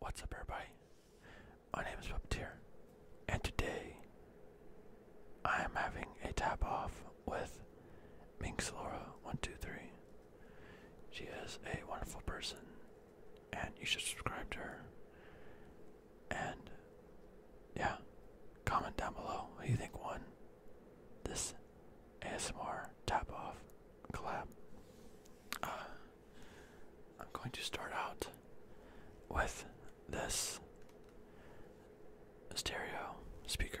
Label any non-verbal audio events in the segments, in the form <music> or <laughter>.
What's up, everybody? My name is Puppeteer, and today I am having a tap off with Minks Minxlora123. She is a wonderful person, and you should subscribe to her. And yeah, comment down below Do you think one this ASMR tap off collab. Ah. I'm going to start out with this stereo speaker.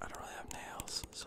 I don't really have nails, so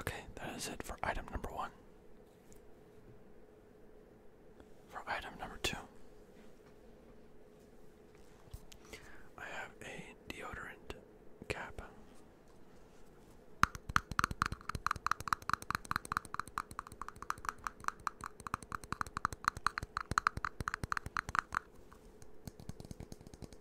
Okay, that is it for item number one. For item number two, I have a deodorant cap.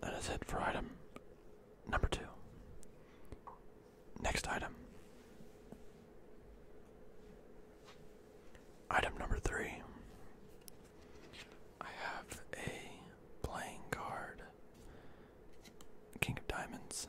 That is it for item number two. Next item. Item number three. I have a playing card. King of Diamonds.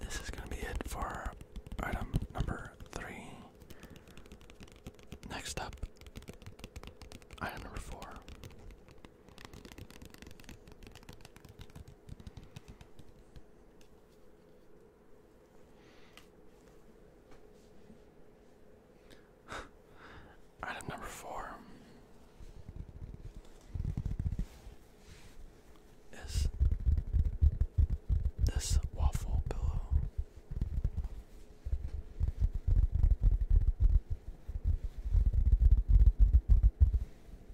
This is going to be it for item number three. Next up, item number four <laughs> Item number four is this waffle pillow.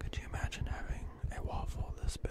Could you imagine having a waffle this big?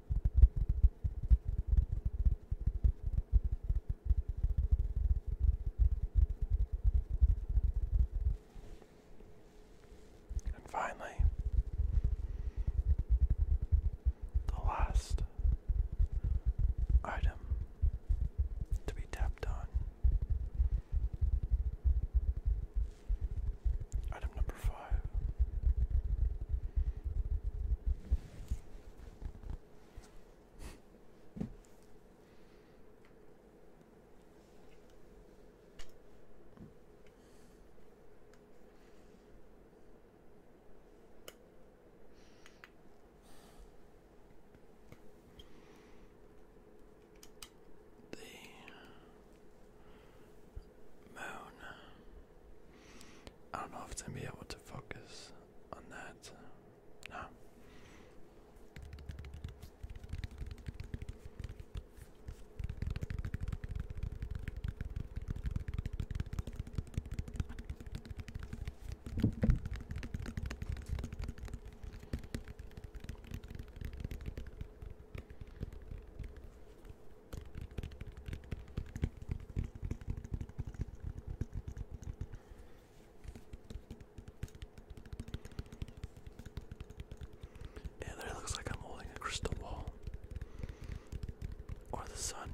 And finally, the last item to be tapped on. Item number number The moon I don't know if it's gonna be able to focus on that. No. Yeah, there looks like I'm holding a crystal ball. Or the sun.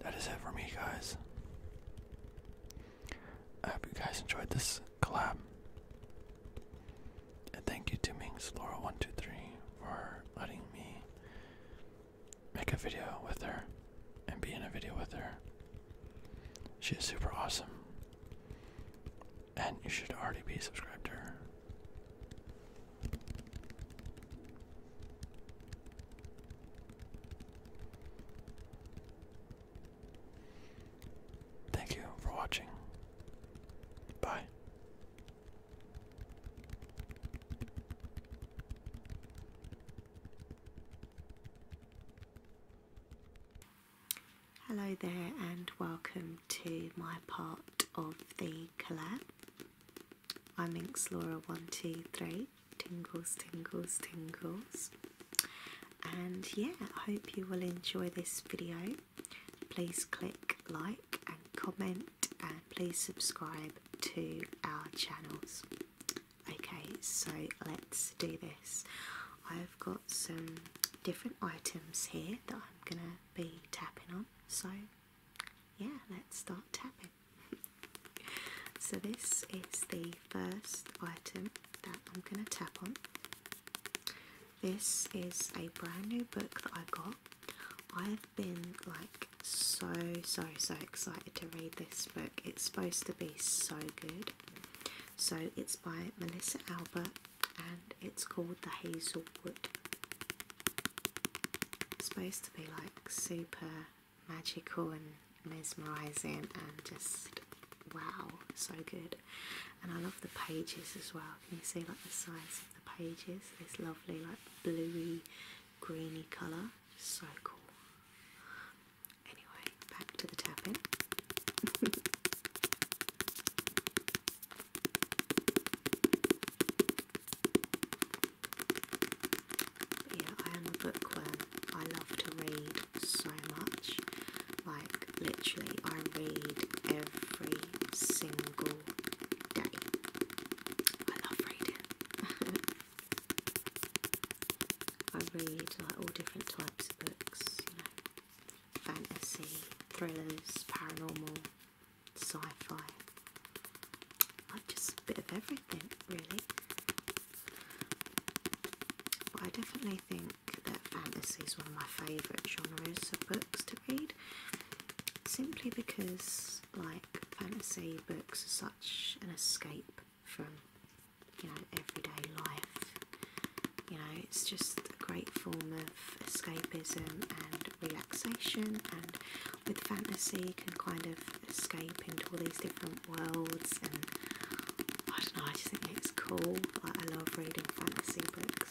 That is it for me, guys. I hope you guys enjoyed this collab. And thank you to Mings Laura123 for letting me make a video with her and be in a video with her. She is super awesome. And you should already be subscribed to her. Thank you for watching. Bye. Hello there, and welcome to my part of the collab. I'm Inks Laura one two three tingles tingles tingles and yeah I hope you will enjoy this video please click like and comment and please subscribe to our channels okay so let's do this I've got some different items here that I'm gonna be tapping on so yeah let's start tapping so this is the first item that I'm going to tap on. This is a brand new book that I got. I've been like so so so excited to read this book. It's supposed to be so good. So it's by Melissa Albert and it's called The Hazelwood. It's supposed to be like super magical and mesmerizing and just wow, so good. And I love the pages as well. Can you see like the size of the pages? This lovely like bluey, greeny colour. So cool. Anyway, back to the tapping. <laughs> yeah, I am a bookworm. I love to read so much. Like, literally, I read every single day. I love reading. <laughs> I read like all different types of books, you know, fantasy, thrillers, paranormal, sci-fi. Like just a bit of everything, really. But I definitely think that fantasy is one of my favourite genres of books to read, simply because like fantasy books are such an escape from you know everyday life. You know, it's just a great form of escapism and relaxation, and with fantasy, you can kind of escape into all these different worlds and I don't know, I just think it's cool. Like I love reading fantasy books.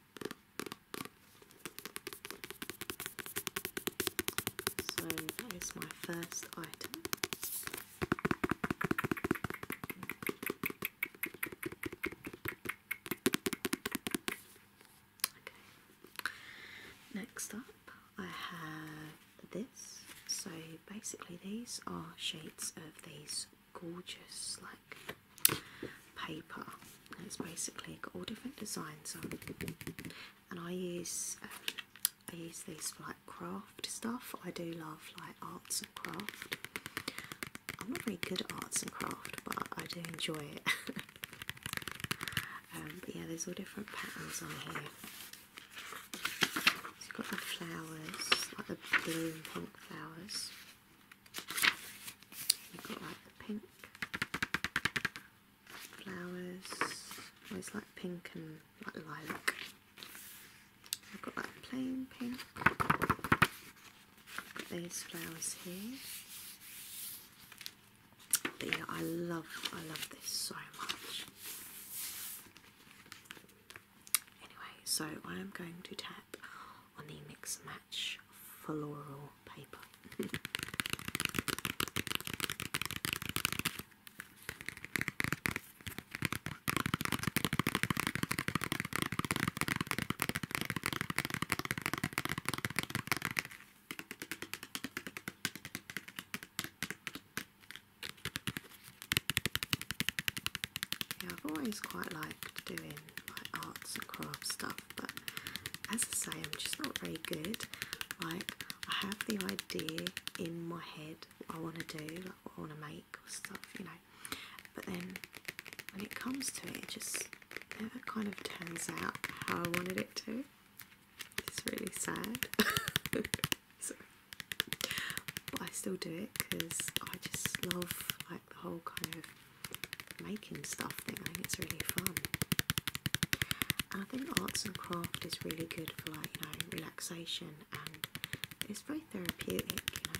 So that is my first item. Next up, I have this. So basically, these are shades of these gorgeous like paper. it's basically got all different designs on, and I use um, I use these for like craft stuff. I do love like arts and craft. I'm not very good at arts and craft, but I do enjoy it. <laughs> Um, yeah, there's all different patterns on here. So you got the flowers, like the blue and pink flowers. You've got like the pink flowers. Always like pink and like lilac. I've got like plain pink. Got these flowers here. The, I love, I love this so much. Anyway, so I am going to tap on the Mix Match floral paper. Yeah, I've always quite liked doing my arts and craft stuff, but as I say, I'm just not very good. Like, I have the idea in my head what I want to do, like what I want to make or stuff, you know, but then when it comes to it, it just never kind of turns out how I wanted it to. It's really sad. <laughs> but I still do it because I just love like the whole kind of making stuff thing. I think it's really fun. I think arts and craft is really good for like, you know, relaxation and it's very therapeutic, you know.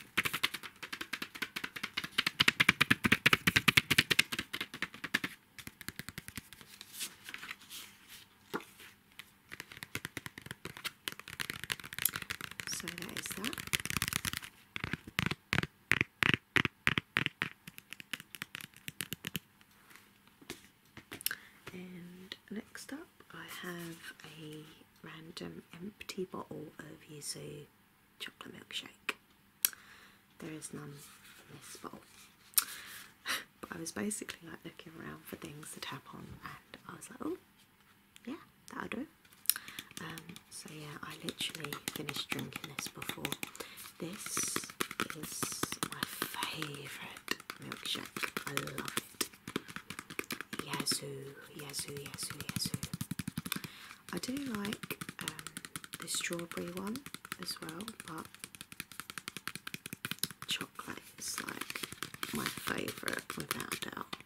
So that is that. And next up, I have a random empty bottle of yuzu chocolate milkshake. There is none in this bottle. <laughs> but I was basically like looking around for things to tap on and I was like, oh, yeah, that'll do. Um, so yeah, I literally finished drinking this before. This is my favourite milkshake. I love it. Yazoo, Yazoo, Yazoo, Yazoo. I do like um, the strawberry one as well, but chocolate is like my favourite without doubt.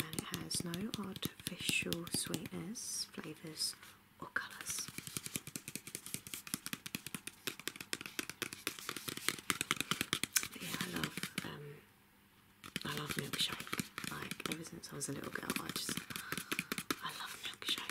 And it has no artificial sweetness flavours, or colours. Yeah, I love um, I love milkshake. Like ever since I was a little girl, I just I love milkshake.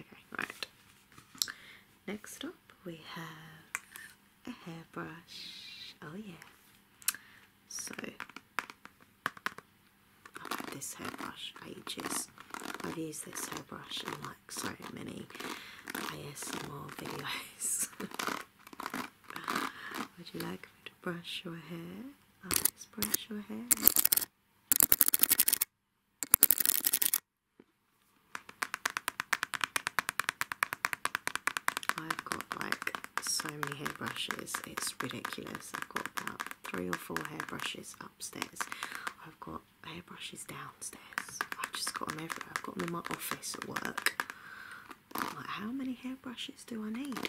Okay, right. Next up, we have a hairbrush. Oh, yeah. So, I've this hairbrush ages. I've used this hairbrush in like so many ASMR videos. <laughs> Would you like me to brush your hair? I'll just brush your hair. I've got like so many hairbrushes, it's ridiculous. I've got about three or four hairbrushes upstairs. I've got hairbrushes downstairs. I've just got them everywhere. I've got them in my office at work. Like, how many hairbrushes do I need?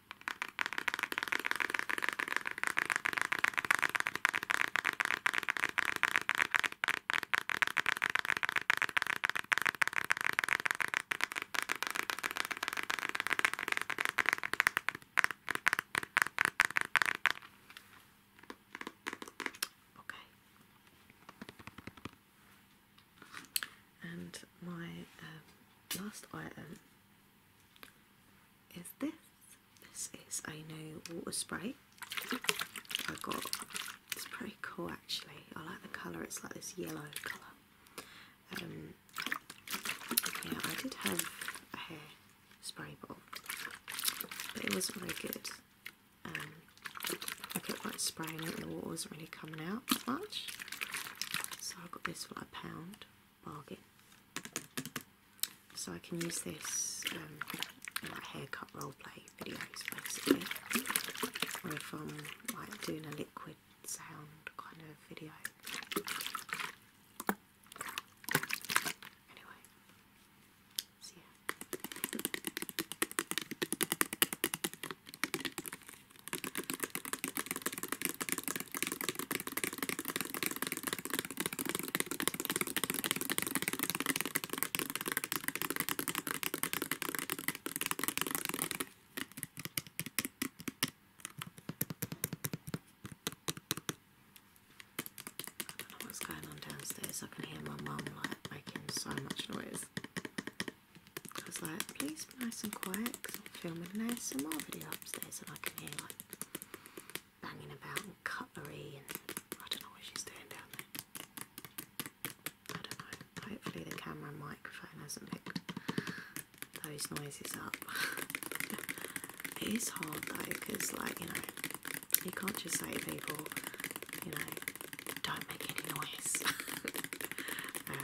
Okay. And my uh, last item is this. This is a new water spray. I got it's pretty cool actually. I like the colour, it's like this yellow colour. Um, yeah, I did have a hair spray bottle, but it wasn't very good. Um, I kept like spraying it, and the water wasn't really coming out much. So I got this for like a pound. So I can use this um, in like haircut role play videos basically, or if I'm like doing a liquid sound kind of video. Anyway, so I don't know what's going on downstairs. I can hear my mum like making so much noise. I was like, please nice and quiet because I'm filming an ASMR video upstairs and I can hear like banging about and cutlery and I don't know what she's doing down there. I don't know. Hopefully the camera microphone hasn't picked those noises up. <laughs> it is hard though because like, you know, you can't just say to people, you know, don't make any noise. <laughs> Um,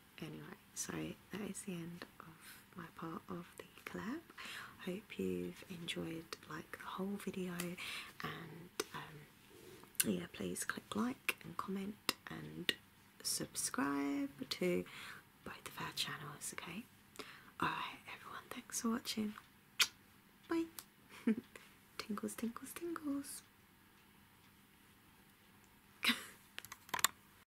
anyway, so that is the end of my part of the collab. Hope you've enjoyed like the whole video and um, yeah, please click like and comment and subscribe to both of our channels, okay? Alright everyone, thanks for watching. Bye. <laughs> tingles, tingles, tingles. <laughs>